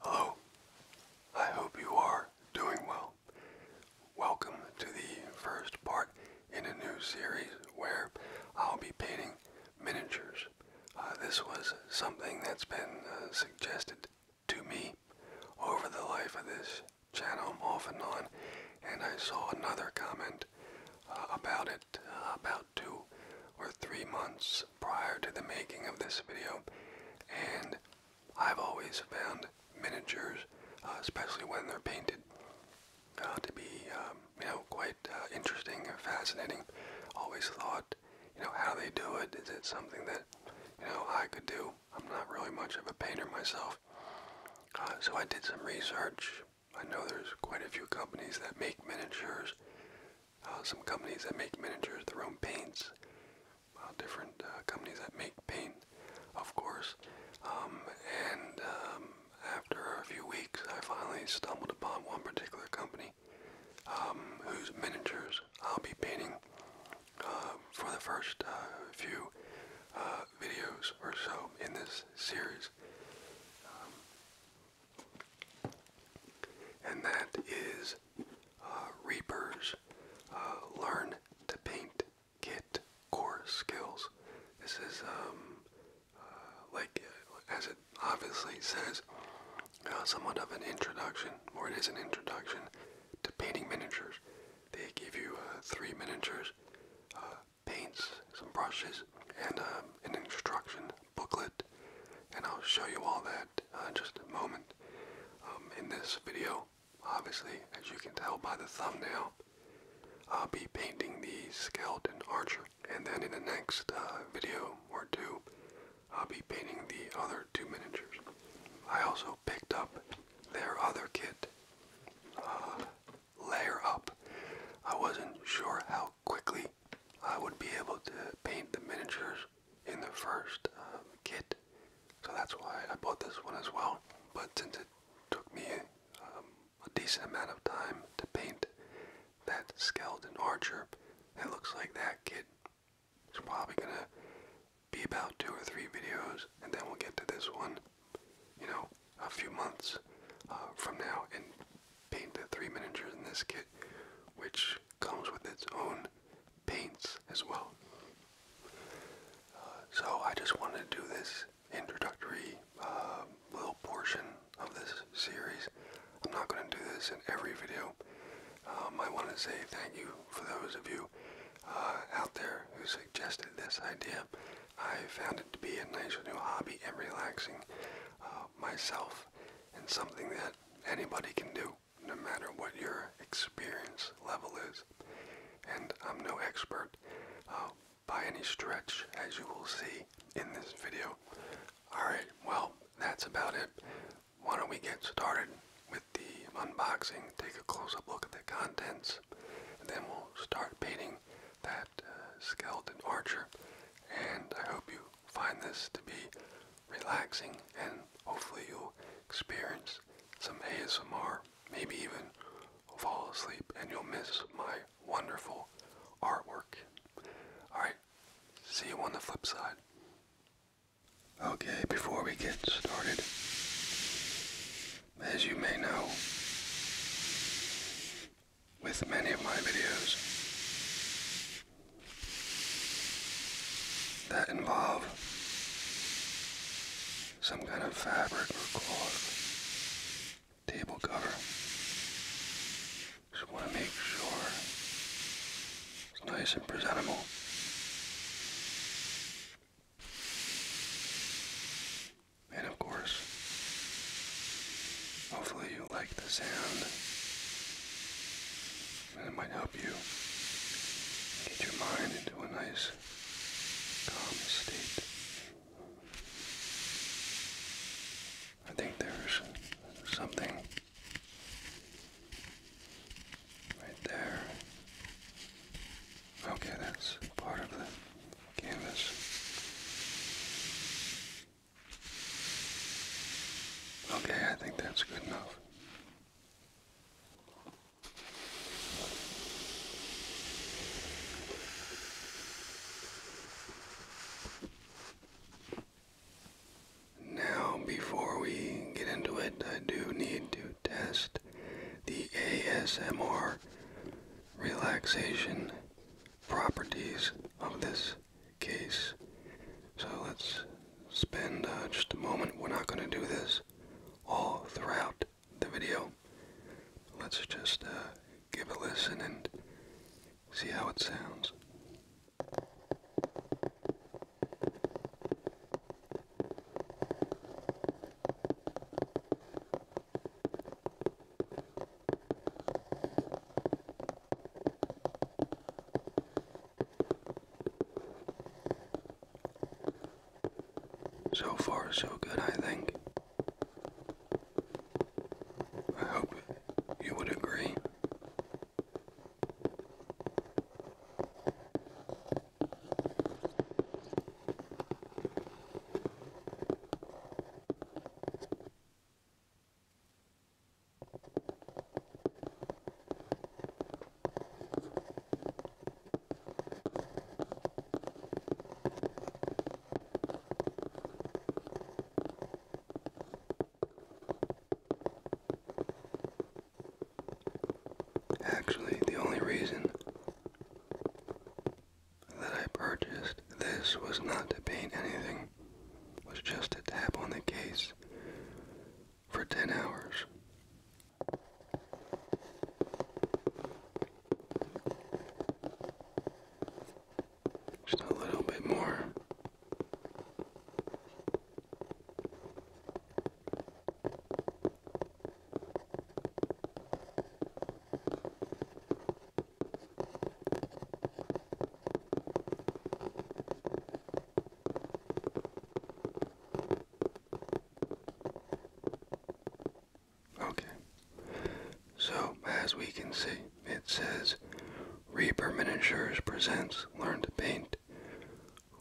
Hello, oh, I hope you are doing well. Welcome to the first part in a new series where I'll be painting miniatures. Uh, this was something that's been uh, suggested to me over the life of this channel off and on, and I saw another comment uh, about it about two or three months months prior to the making of this video, and I've always found miniatures, uh, especially when they're painted, uh, to be um, you know quite uh, interesting and fascinating. Always thought, you know, how they do it. Is it something that you know I could do? I'm not really much of a painter myself, uh, so I did some research. I know there's quite a few companies that make miniatures. Uh, some companies that make miniatures, their own paints, uh, different uh, companies that make paint, of course. Um, and um, after a few weeks, I finally stumbled upon one particular company um, whose miniatures I'll be painting for the first few videos or so in this series. and that is uh, reapers, uh, learn to paint, get core skills. This is um, uh, like uh, as it obviously says, somewhat of an introduction, or it is an introduction to painting miniatures. They give you three miniatures, paints, some brushes, and um, an instruction booklet, and I'll show you all that in uh, just a moment. Um, in this video, obviously, as you can tell by the thumbnail, I'll be painting the skeleton archer, and then in the next uh, video or two, I'll be painting the other two miniatures. I also picked up their other kit, uh, Layer Up. I wasn't sure how quickly I would be able to paint the miniatures in the first um, kit, so that's why I bought this one as well. But since it took me um, a decent amount of time to paint that skeleton archer, it looks like that kit is probably gonna be about two or three videos, and then we'll get to this one, you know, a few months uh, from now, and paint the three miniatures in this kit, which comes with its own paints as well. Uh, so I just wanted to do this introductory uh, little portion of this series. I'm not going to do this in every video. Um, I want to say thank you for those of you uh, out there who suggested this idea. I found it to be a nice new hobby and relaxing myself and something that anybody can do no matter what your experience level is. And I'm no expert uh, by any stretch, as you will see in this video. Alright, well, that's about it. Why don't we get started with the unboxing, take a close-up look at the contents, and then we'll start painting that uh, skeleton archer. And I hope you find this to be relaxing, and hopefully you'll experience some ASMR, maybe even fall asleep, and you'll miss my wonderful artwork. Alright, see you on the flip side. Okay, before we get started, as you may know, with many of my videos, that involve some kind of fabric or cloth, table cover. Just want to make sure it's nice and presentable. And of course, hopefully you like the sound it might help you get your mind into a nice calm state. I think there's something right there. Okay, that's part of the canvas. Okay, I think that's good enough. Now, before we get into it, I do need to test the ASMR relaxation properties of this case. So let's spend uh, just a moment. We're not going to do this all throughout the video. Let's just uh, give a listen and see how it sounds. So far, so good, I think. I hope you would agree. Actually, the only reason that I purchased this was not to paint anything, was just a tap on the case for 10 hours. Just a little bit more. Okay. So, as we can see, it says Reaper Miniatures presents Learn to Paint,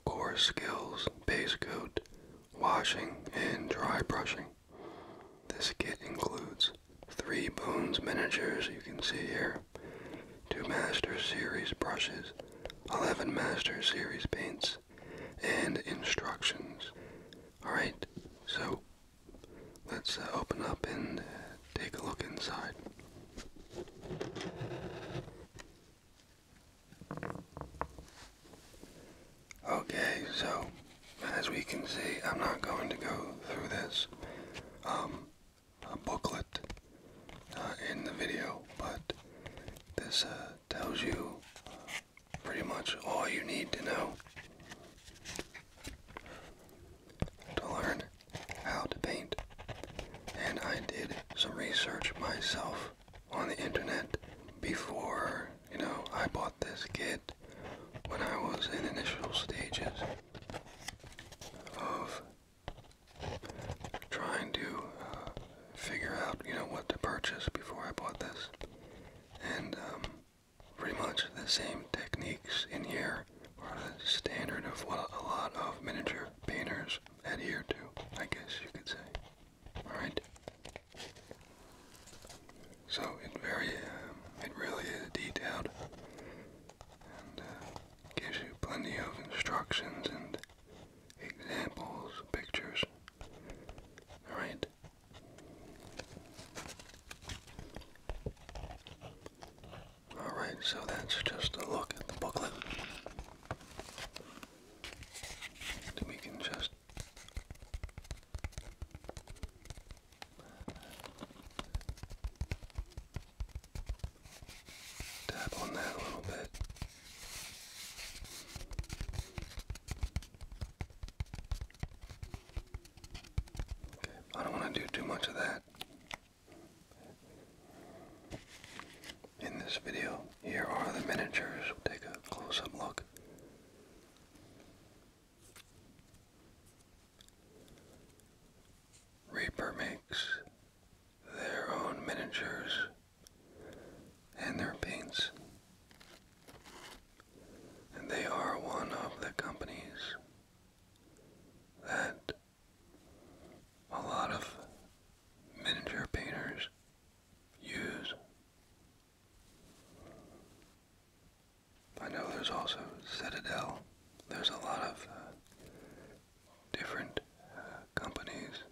Core Skills, Base Coat, Washing, and Dry Brushing. This kit includes three boons miniatures you can see here, 2 Master Series brushes, 11 Master Series paints, and instructions. Alright, so let's uh, open up and uh, take a look inside. Okay, so as we can see, I'm not going to go through this. Um, a booklet uh, in the video, but this uh, tells you uh, pretty much all you need to know to learn how to paint. And I did some research myself on the internet before, you know, I bought this kit when I was in initial stages of trying to uh, figure out, you know, what to purchase before I bought this. And um, pretty much the same techniques in here are the standard of what a lot of miniature painters adhere to, I guess you could say. Alright? So it very, um, it really is detailed and uh, gives you plenty of instructions and examples, pictures. All right. All right, so that's just a look at the booklet. we can just Tap on that a little bit. I don't want to do too much of that in this video. Here are the miniatures. take a close up look. Reaper makes their own miniatures and their paints. And they are one of the companies that a lot of miniature painters use. I know there's also Citadel. There's a lot of uh, different uh, companies.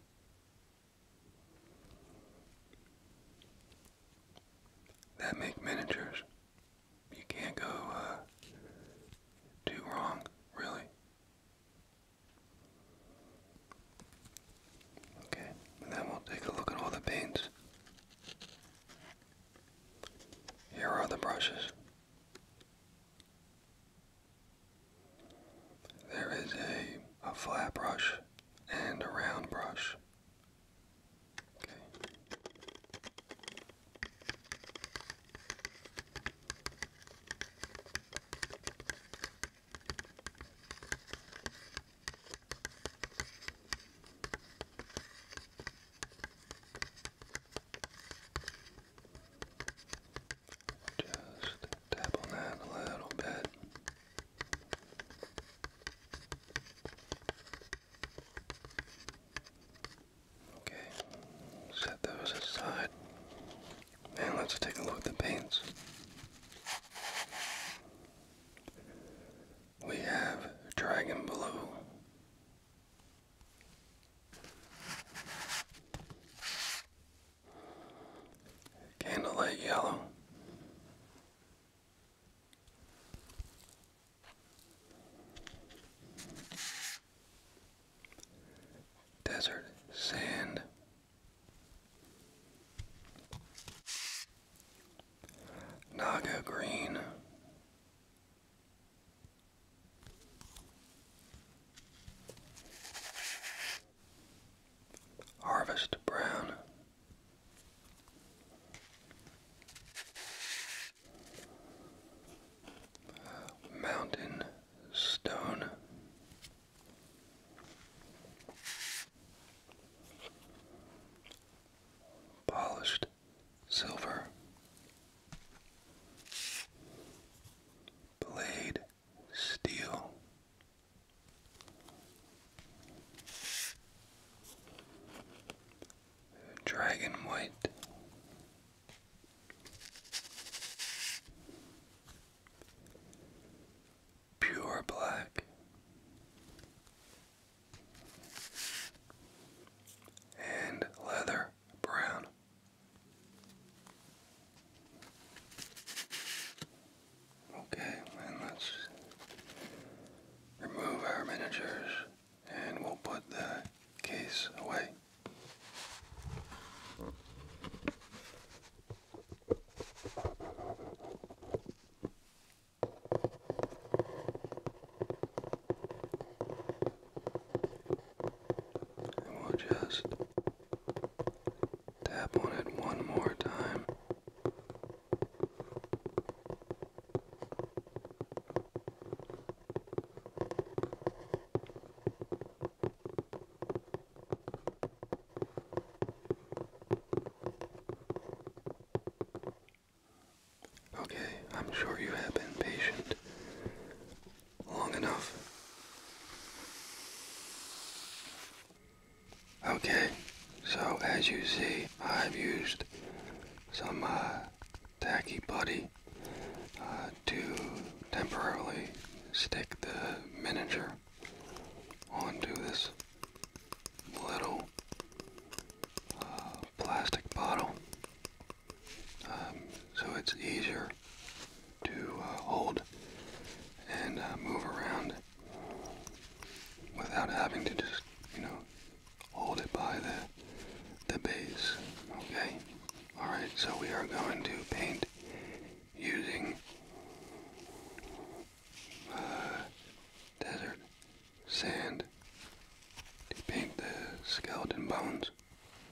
That make miniatures. You can't go uh, too wrong, really. Okay, and then we'll take a look at all the paints. Here are the brushes. There is a, a flat brush and a round brush. Okay. Just tap on that a little bit. Okay, set those aside. And let's take a look at the paints. We have Dragon Blue candlelight yellow. Desert sand, Naga green, Harvest Brown. Mountain Stone Polished Silver Blade steel. Dragon white, pure black, and leather brown. Okay, let's remove our miniatures and we'll put the case away. And we'll just Tap on it one more time. Okay, I'm sure you have been patient long enough. Okay, so as you see, I've used some uh, tacky putty uh, to temporarily stick the miniature onto this little uh, plastic bottle um, so it's easier to uh, hold and uh, move around without having to just, you know, hold it by the, the base, okay? Alright, so we are going to paint using uh, desert sand to paint the skeleton bones.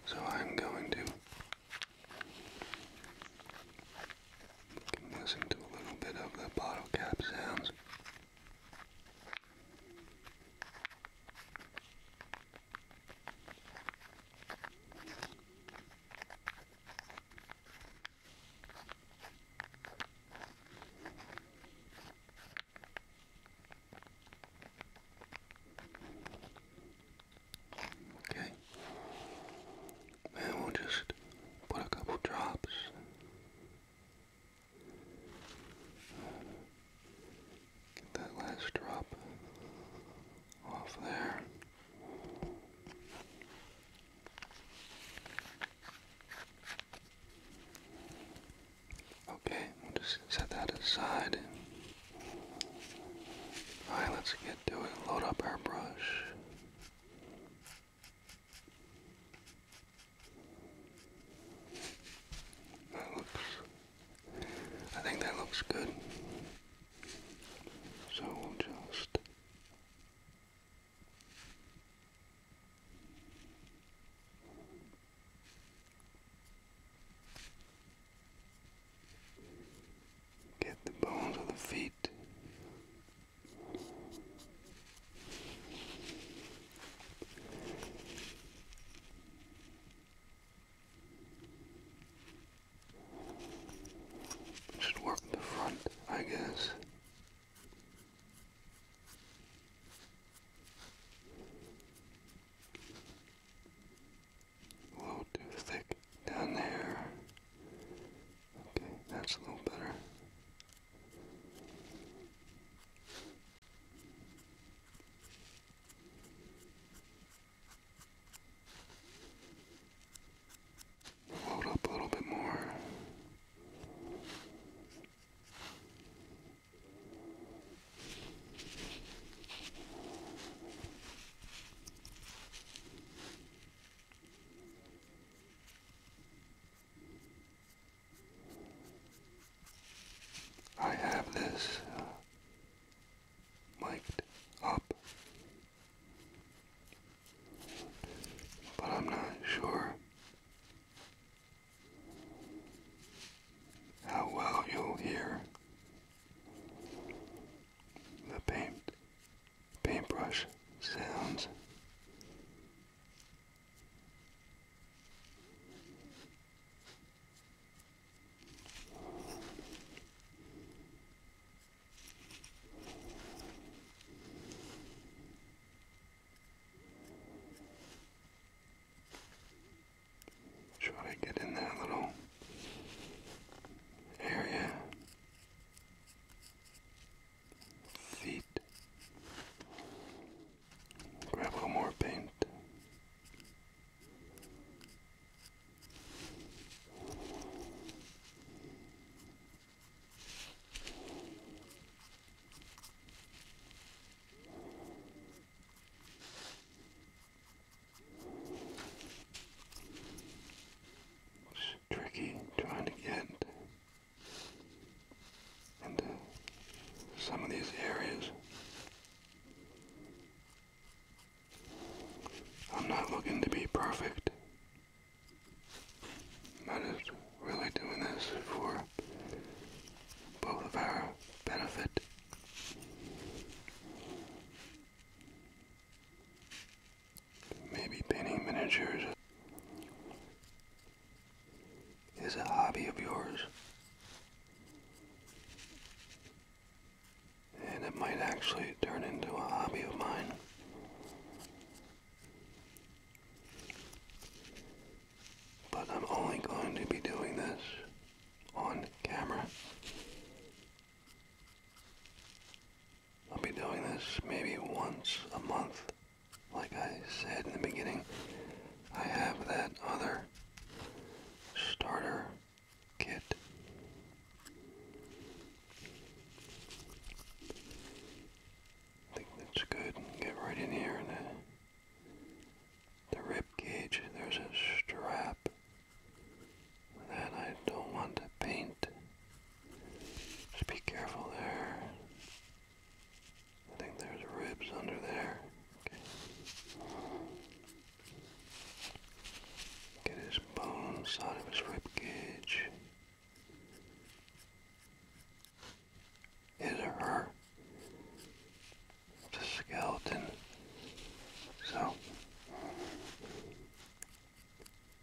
So I'm going to you can listen to a little bit of the bottle cap sounds. Okay. And we'll just put a couple drops. Get that last drop off there. Okay, we'll just set that aside. Alright, let's get to it. Load up our brush. That looks, I think that looks good. So we'll just Get the bones of the feet. Should work the front, I guess a little too thick down there. Okay, that's a little better. Load up a little bit more. I have this uh, mic'd up, but I'm not sure how well you'll hear the paint paintbrush sounds. Try to get in that little area feet. Grab a little more paint. It's tricky trying to get into some of these areas. I'm not looking to be perfect. I'm really doing this for both of our benefit. Maybe painting miniatures is a hobby of yours. And it might actually turn into a hobby of mine. But I'm only going to be doing this on camera. I'll be doing this maybe once a month. Like I said in the beginning, I have that other starter kit. I think that's good. Get right in here and the rib cage. There's a strap that I don't want to paint. Just be careful there. I think there's ribs under there. Get his bones out of his rib cage. His or her. It's skeleton. So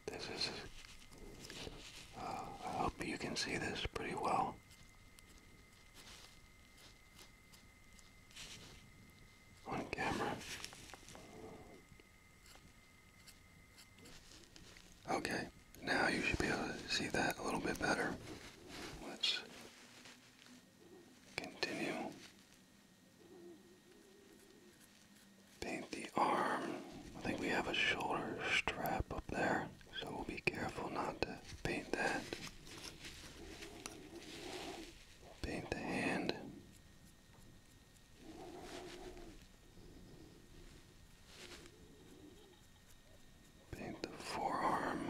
this is, uh, I hope you can see this pretty well. On camera. Okay, now you should be able to see that a little bit better. Let's continue Paint the arm. I think we have a shoulder strap up there, so we'll be careful not to paint that. Paint the hand. Paint the forearm.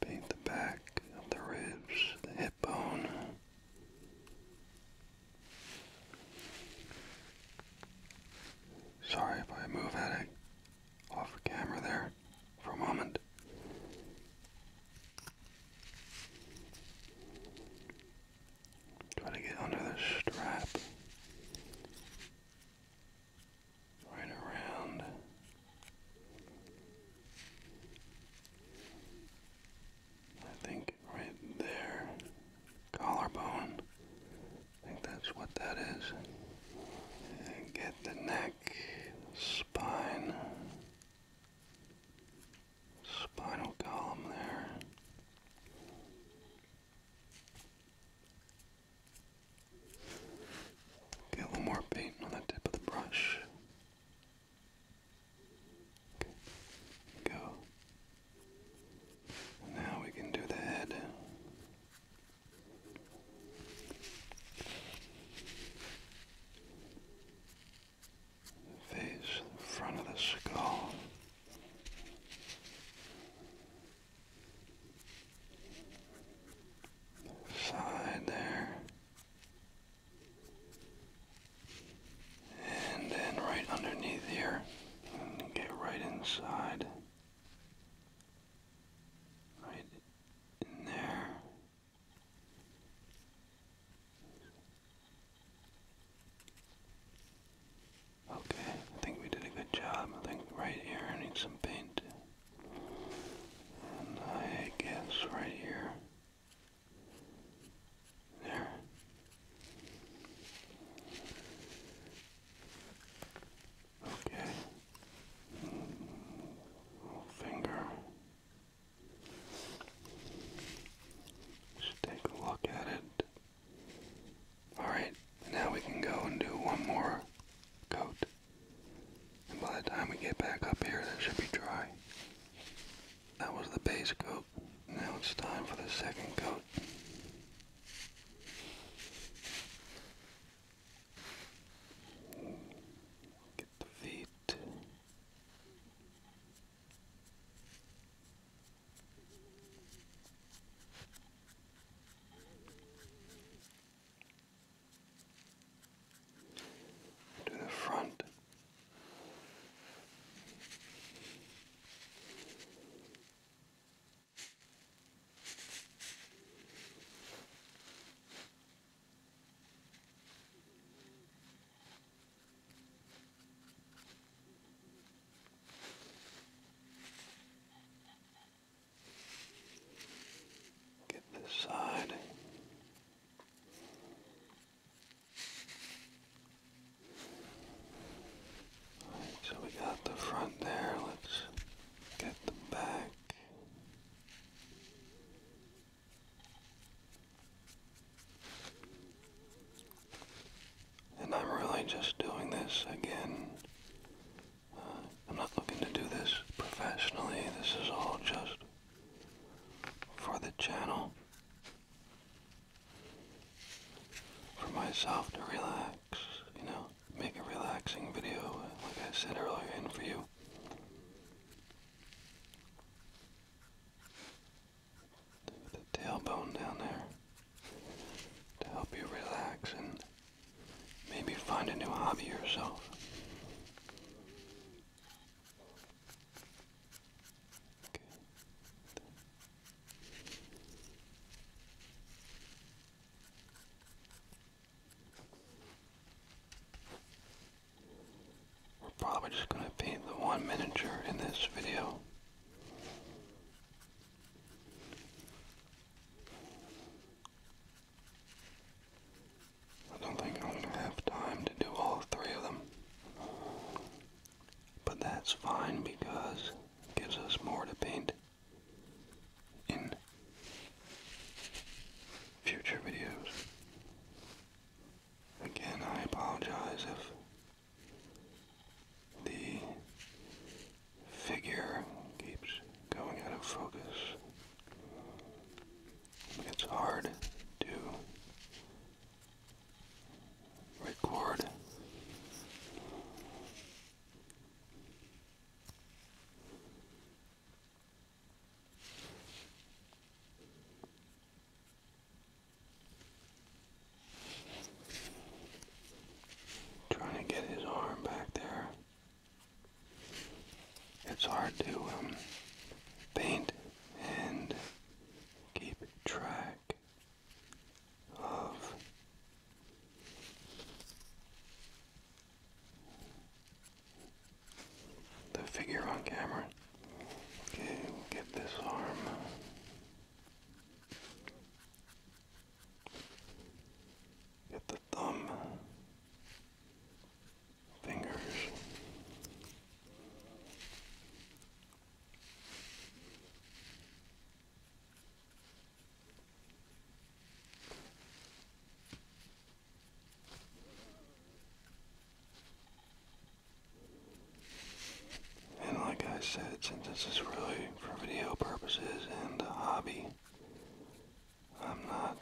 Paint the back of the ribs, the hip bone. Sorry if I move at it off camera there for a moment. Try to get under the strap. Right around I think right there, collarbone. I think that's what that is. get the neck, spine, spinal column there. Get a little more paint on the tip of the brush. Go. Now we can do the head. face, front of the skull. side there. And then right underneath here, and get right inside. Right in there. Okay, I think we did a good job. I think right here I need some paint. And I guess right here. There. Okay. Finger. Just look at it. Alright, now we can go and do one more coat. And by the time we get back up here, that should be dry. That was the base coat. Now it's time for the second coat. Get the feet to the front. Get this side so we got the front there. Let's get the back. And I'm really just doing this again. Uh, I'm not looking to do this professionally. This is all just for the channel, for myself to relax, you know, make a relaxing video, like I said earlier, in for you. The tailbone down there to help you relax and maybe find a new hobby yourself. We're probably just going to be the one miniature in this video. I don't think I'm gonna have time to do all three of them. But that's fine because it gives us more to paint in future videos. Again, I apologize if the figure keeps going out of focus it's hard to record trying to get his arm back there it's hard to um, paint and keep track of the figure on camera. Okay, get this arm. Get the thumb fingers. And like I said, since this is really for video purposes and a hobby, I'm not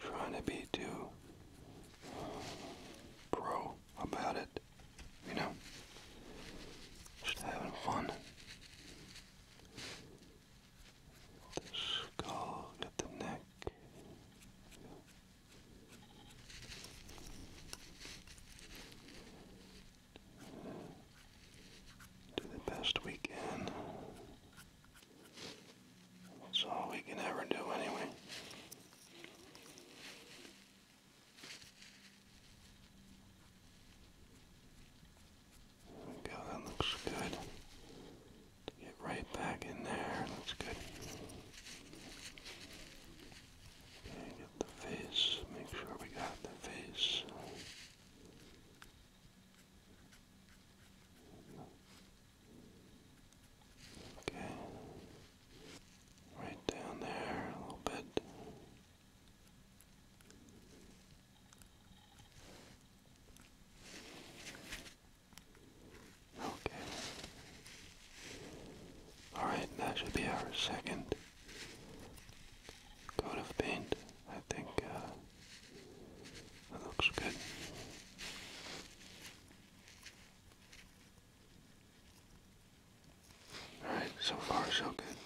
trying to be too uh, pro about it, you know? Just having fun. The skull at the neck. Do the best we can. That's all we can ever do anyway. There we go, that looks good. Get right back in there, looks good. Okay, get the face, make sure we got the face. Okay. Right down there a little bit. Okay. Alright, that should be our second coat of paint. I think uh, that looks good. Alright, so far so good.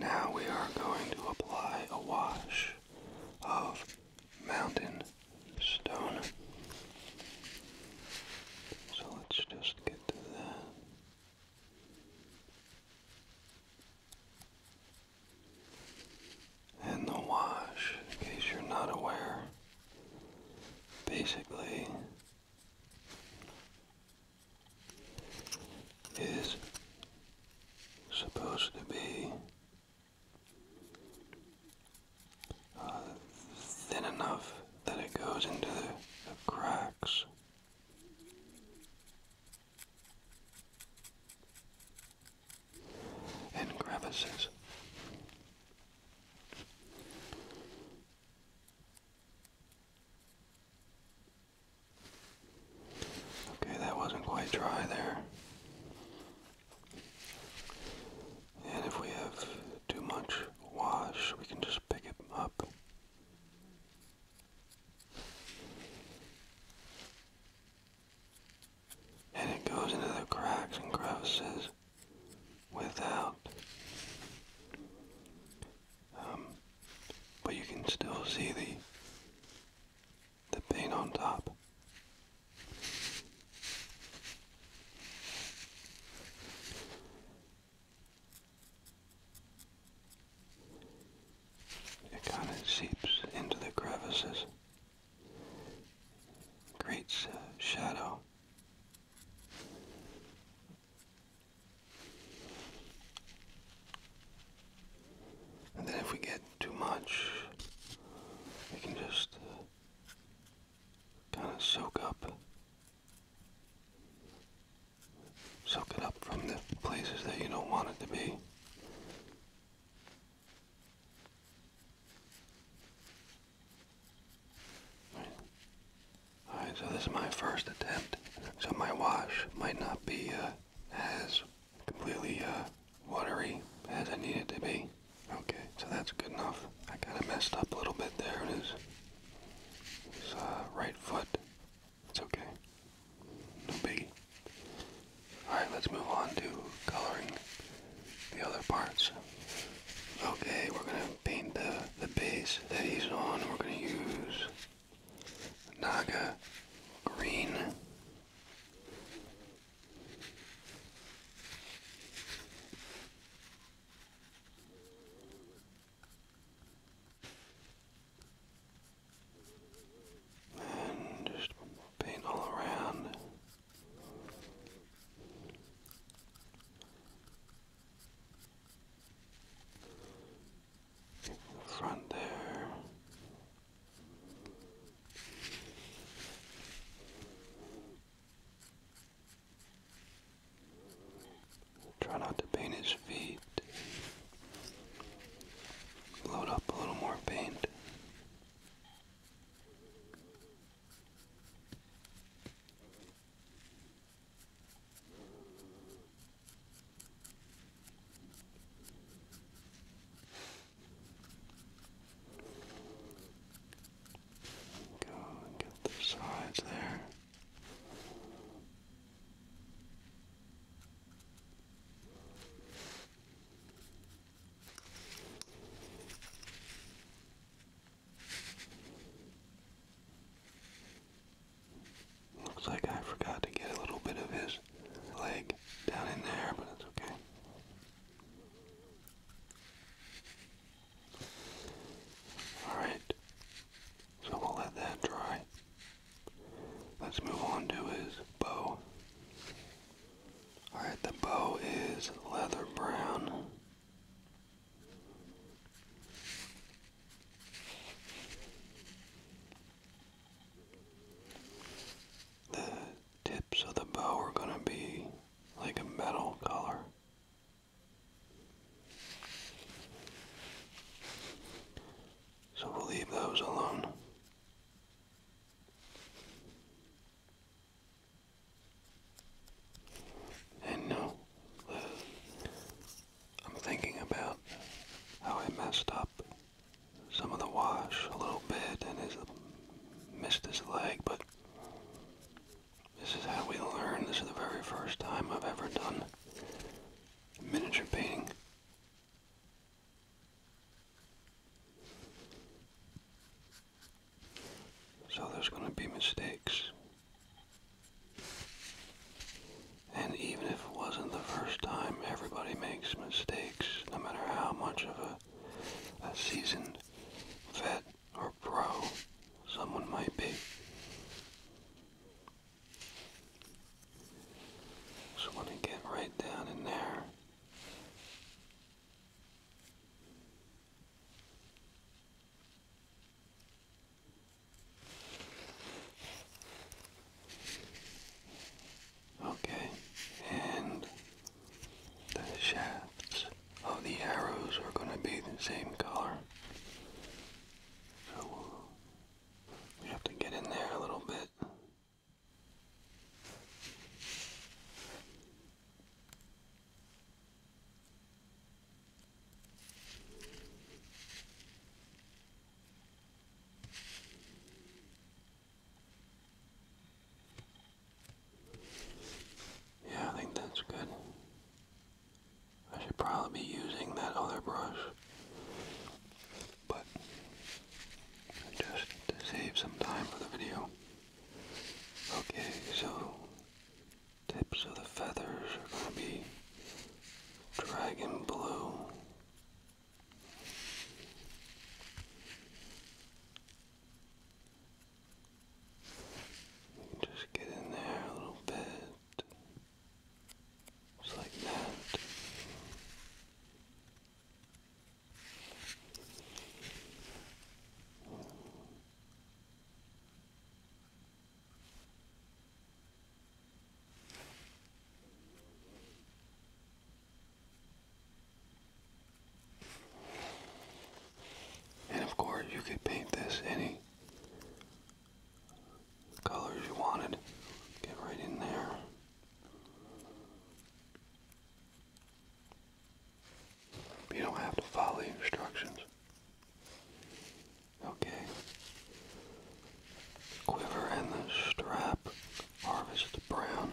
Now we are going to apply a wash of mountain stone. So let's just get to that in the wash, in case you're not aware. Basically, is supposed to be uh, thin enough that it goes into the cracks and crevices. Okay, that wasn't quite dry there. And if we have too much wash, we can just pick it up and it goes into the cracks and crevices without. Um, but you can still see the the paint on top. It kind of seeps into the crevices, creates a shadow. And then if we get too much, we can just uh, kind of soak up, soak it up from the places that you don't want it to be. All right, so this is my first attempt. So my wash might not be uh, as completely uh, watery as I need it to be. Okay, so that's good enough. I kind of messed up a little bit there. It is. It's, uh, right foot. It's okay. No biggie. Alright, let's move on to coloring the other parts. Okay, we're going to paint the, the base that he's on. We're going to use Naga Green. And just paint all around. The front there. Try not to paint his feet. Load up a little more paint. Go get the sides there. Looks like I forgot to get a little bit of his leg down in there, but it's okay. Alright, so we'll let that dry. Let's move on to his bow. Alright, the bow is leather brown. The tips of the bow are going to be like a metal color. So we'll leave those alone. And now, I'm thinking about how I messed up some of the wash a little bit and his, missed his leg, but this is how we learn. This is the very first time I've ever done miniature painting. So there's going to be mistakes. And even if it wasn't the first time, everybody makes mistakes, no matter how much of a, a seasoned vet or pro someone might be. Just want to get right down in there. Okay, and the shafts of the arrows are going to be the same color. So we have to get in there a little bit. Yeah, I think that's good. I should probably be using that other brush but just to save some time for the video. Okay, so tips of the feathers are going to be dragon blue. Just get in there a little bit, just like that. And of course, you could paint this any colors you wanted. Get right in there. You don't have to follow the instructions. Okay. Quiver and the strap. Harvest brown.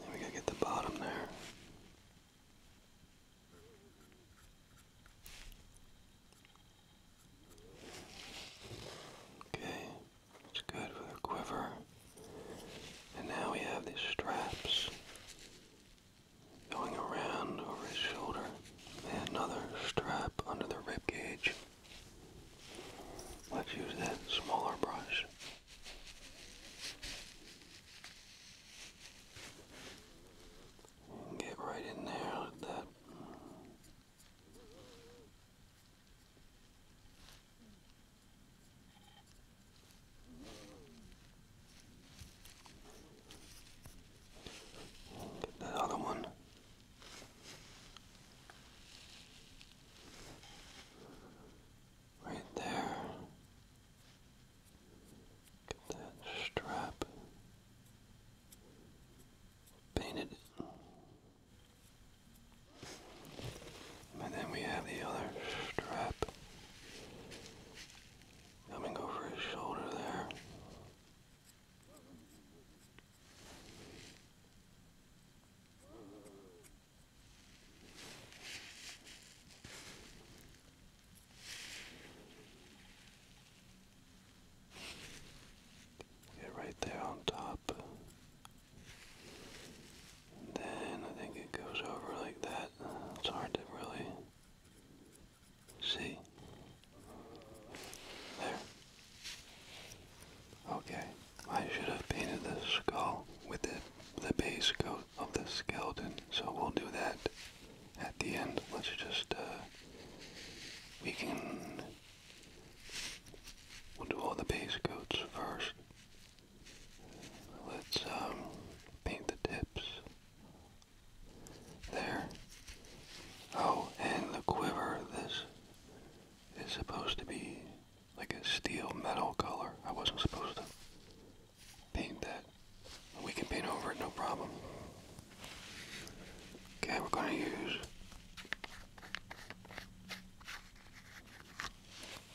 There we to get the bottom there. Okay, it's good for the quiver. And now we have these straps going around over his shoulder. And another strap under the rib cage. Let's use that smaller brush. Get right in there like that. Get that other one. Right there. Get that strap painted. And then we have the other strap coming over his shoulder there right there on top. then I think it goes over like that. It's hard to really see. There. Okay, I should have painted the skull with the, base coat of the skeleton, so we'll do that at the end. Let's just, uh, we can, we'll do all the base coats first. Let's, um, paint the tips. There. Oh, and the quiver, this is supposed to be like a steel metal color. I wasn't supposed to paint that. We can paint over it, no problem. Okay, we're going to use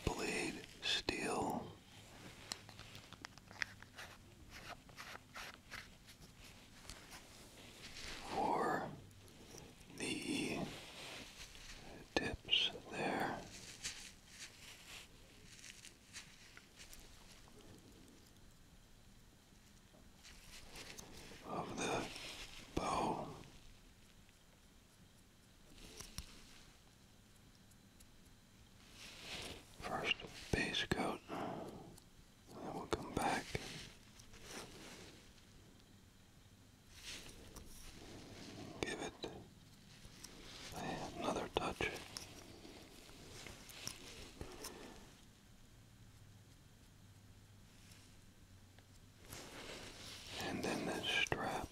blade steel. For the tips there. Of the bow, first base coat, then we'll come back Give it another touch. And then this strap.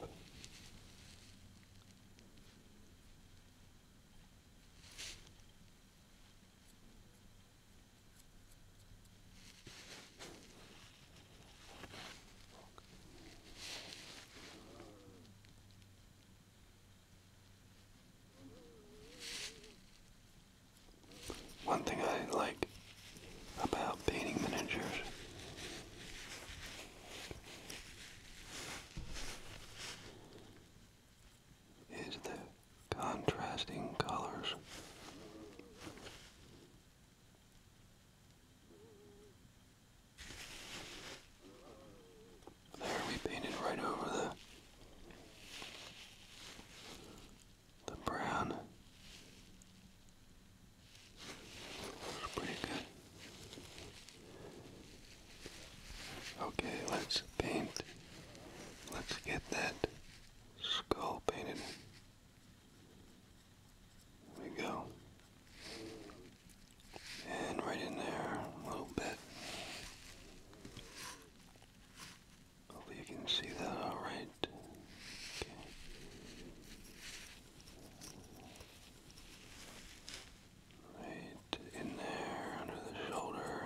One thing I like about painting miniatures is the contrasting colors there we painted right over the the brown. pretty good. Okay, let's paint. Let's get that skull painted. There we go. And right in there, a little bit. Hopefully you can see that alright. Okay. Right in there, under the shoulder.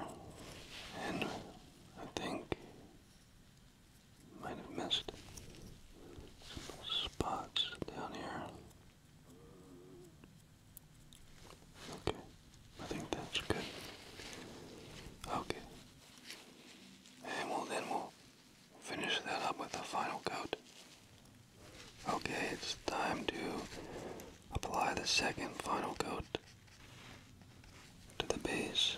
And I think might have missed some spots down here. Okay, I think that's good. Okay. And we'll then we'll finish that up with a final coat. Okay, it's time to apply the second final coat to the base.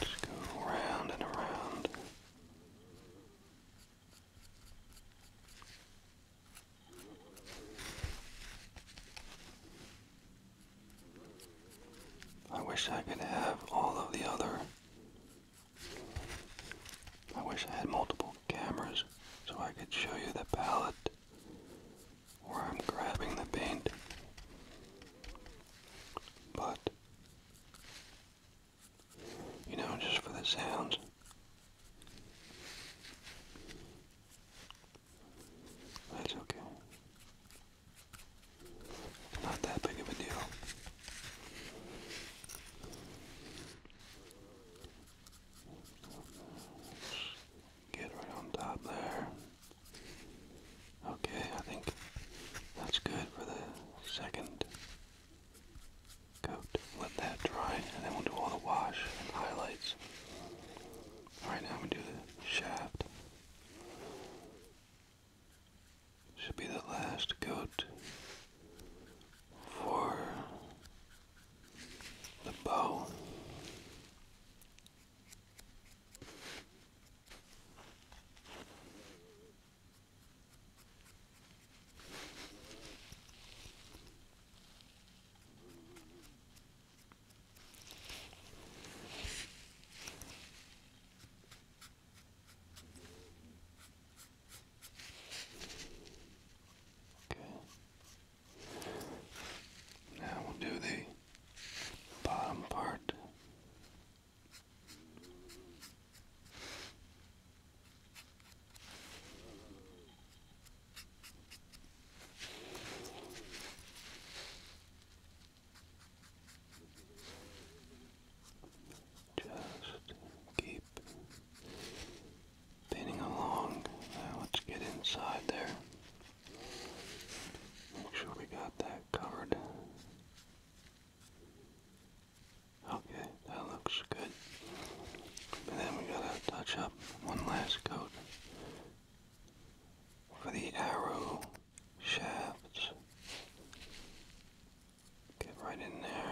Just go around and around. I wish I could have all of the other. I wish I had multiple cameras so I could show you the palette where I'm grabbing the paint but, you know, just for the sounds. That's okay. not that big of a deal. Get right on top there. Okay, I think that's good for the second coat. Let that dry, and then we'll do all the wash and highlights. Alright, now we am going to do the shaft. Should be the last coat for the bow. Okay. Now we'll do the bottom part just keep pinning along. Now let's get inside there. Make sure we got that covered. Okay, that looks good. But then we gotta touch up one last coat for the arrow shafts. Get right in there.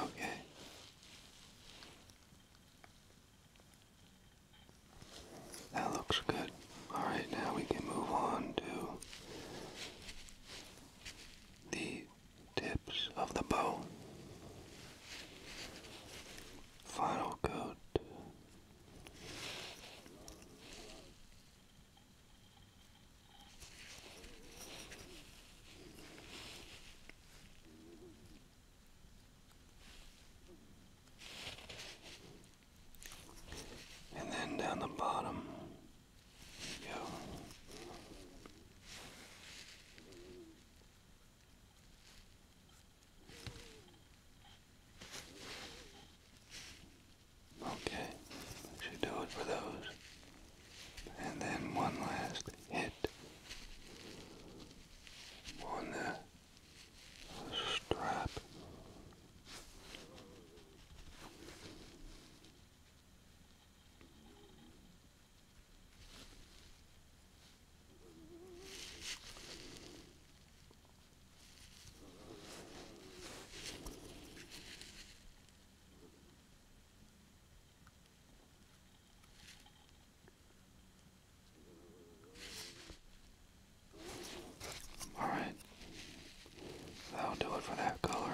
Okay. That looks good. Alright, now we can move on to the tips of the bow. Final coat. And then down the bottom, yeah. Okay, that should do it for those. And then one last hit on the strap. All right, that'll do it for that color.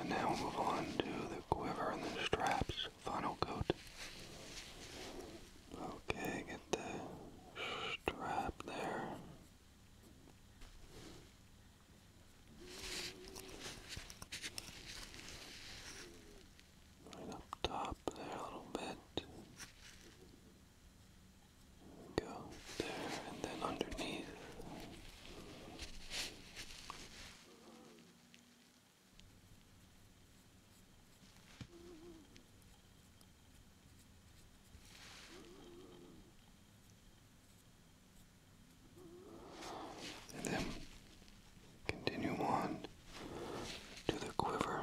And now we'll move on to the quiver and the straps final coat. Okay, get the strap there. Right up top there a little bit. Go there and then underneath. And then continue on to the quiver.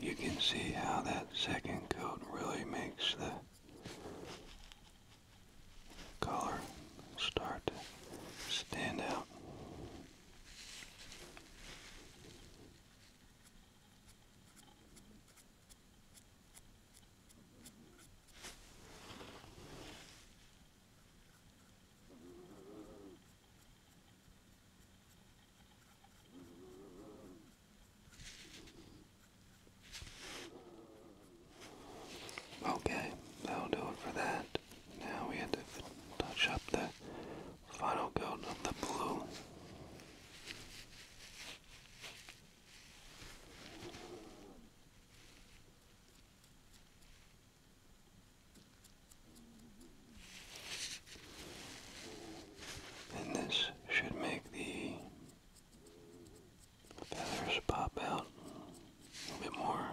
You can see how that second coat really makes the color start to stand out. Okay, that'll do it for that. Now we have to touch up the final coat of the blue. And this should make the feathers pop out a little bit more.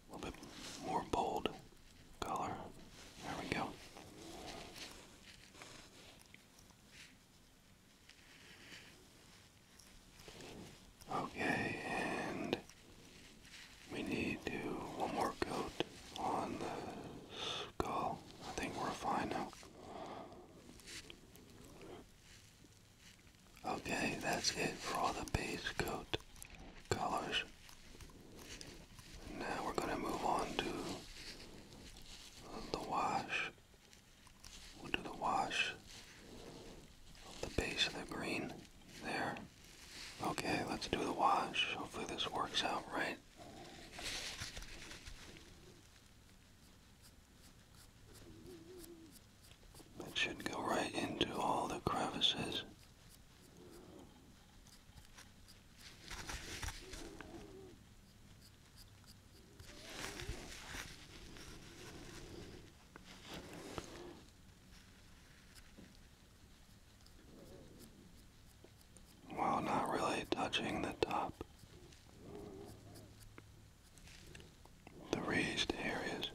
A little bit more bold color. There we go. Okay, and we need to one more coat on the skull. I think we're fine now. Okay, that's it for all the base coat colors. Now we're going to move on to the wash We'll do the wash of the base of the green there. Okay, let's do the wash. Hopefully this works out right. It should go right into all the crevices. While not really touching the top, the raised areas.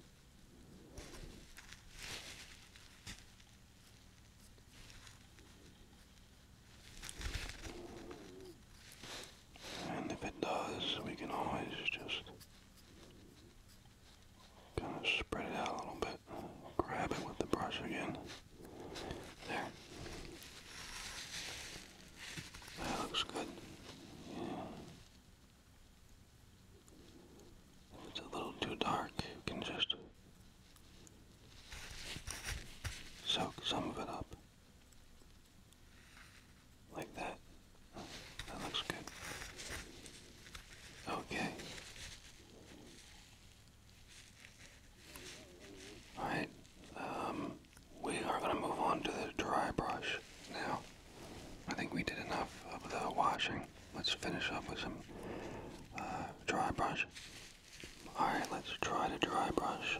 if it does, we can always just Kind of spread it out a little bit. Grab it with the brush again. There. That looks good. If it's a little too dark, you can just soak some of it up. Like that. that looks good. Okay. Alright, um, we are going to move on to the dry brush now. I think we did enough of the washing. Let's finish up with some uh, dry brush. Alright, let's try the dry brush.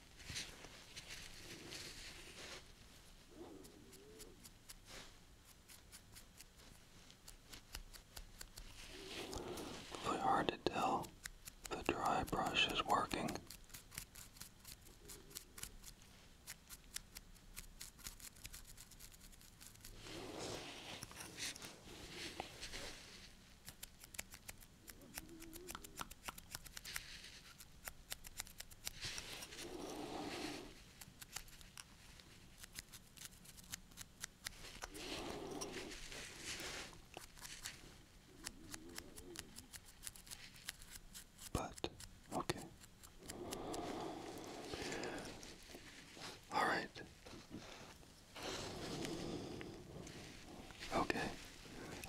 hard to tell if the dry brush is working. But, okay. All right. Okay.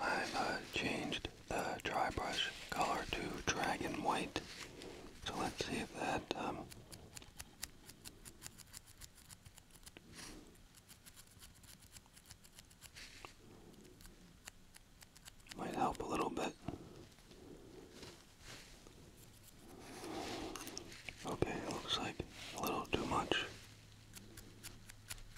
I've uh, changed the dry brush color to dragon white. So let's see if that um, might help a little bit. Okay, looks like a little too much.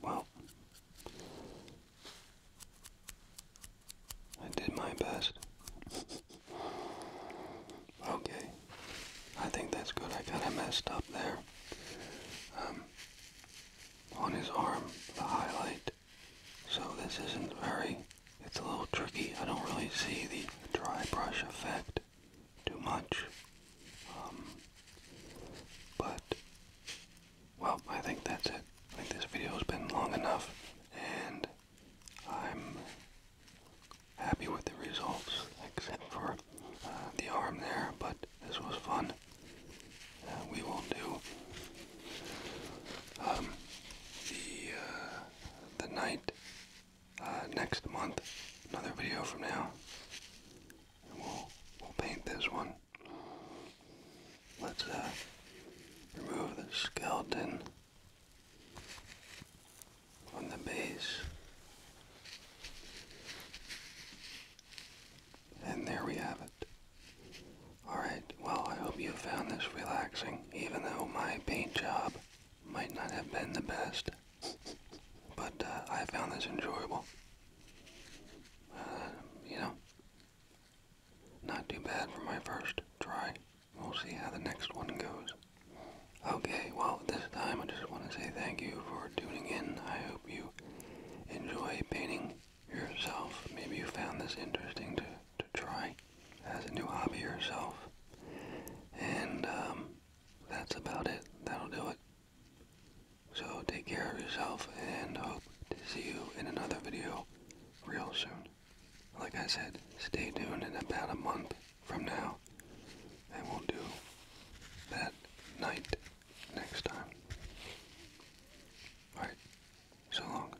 Well, I did my best. Okay. I think that's good. I kind of messed up there. Um, on his arm, the highlight. So this isn't very, it's a little tricky. I don't really see the dry brush effect too much. Um, but, well, I think that's it. I think this video has been long enough, and I'm happy with the results, except for uh, the arm there, but this was fun. Uh, we will do um, the, uh, the night next month, another video from now. we'll, we'll paint this one. Let's remove the skeleton on the base. And there we have it. Alright, well I hope you found this relaxing, even though my paint job might not have been the best. But uh, I found this enjoyable. Uh, you know, not too bad for my first try. We'll see how the next one goes. Okay, well, this time I just want to say thank you for tuning in. I hope you enjoy painting yourself. Maybe you found this interesting to, to try as a new hobby yourself. And um, that's about it. That'll do it. So take care of yourself and hope to see you in another video real soon. Like I said, stay tuned in about a month from now, I we'll do that night next time. Alright, so long.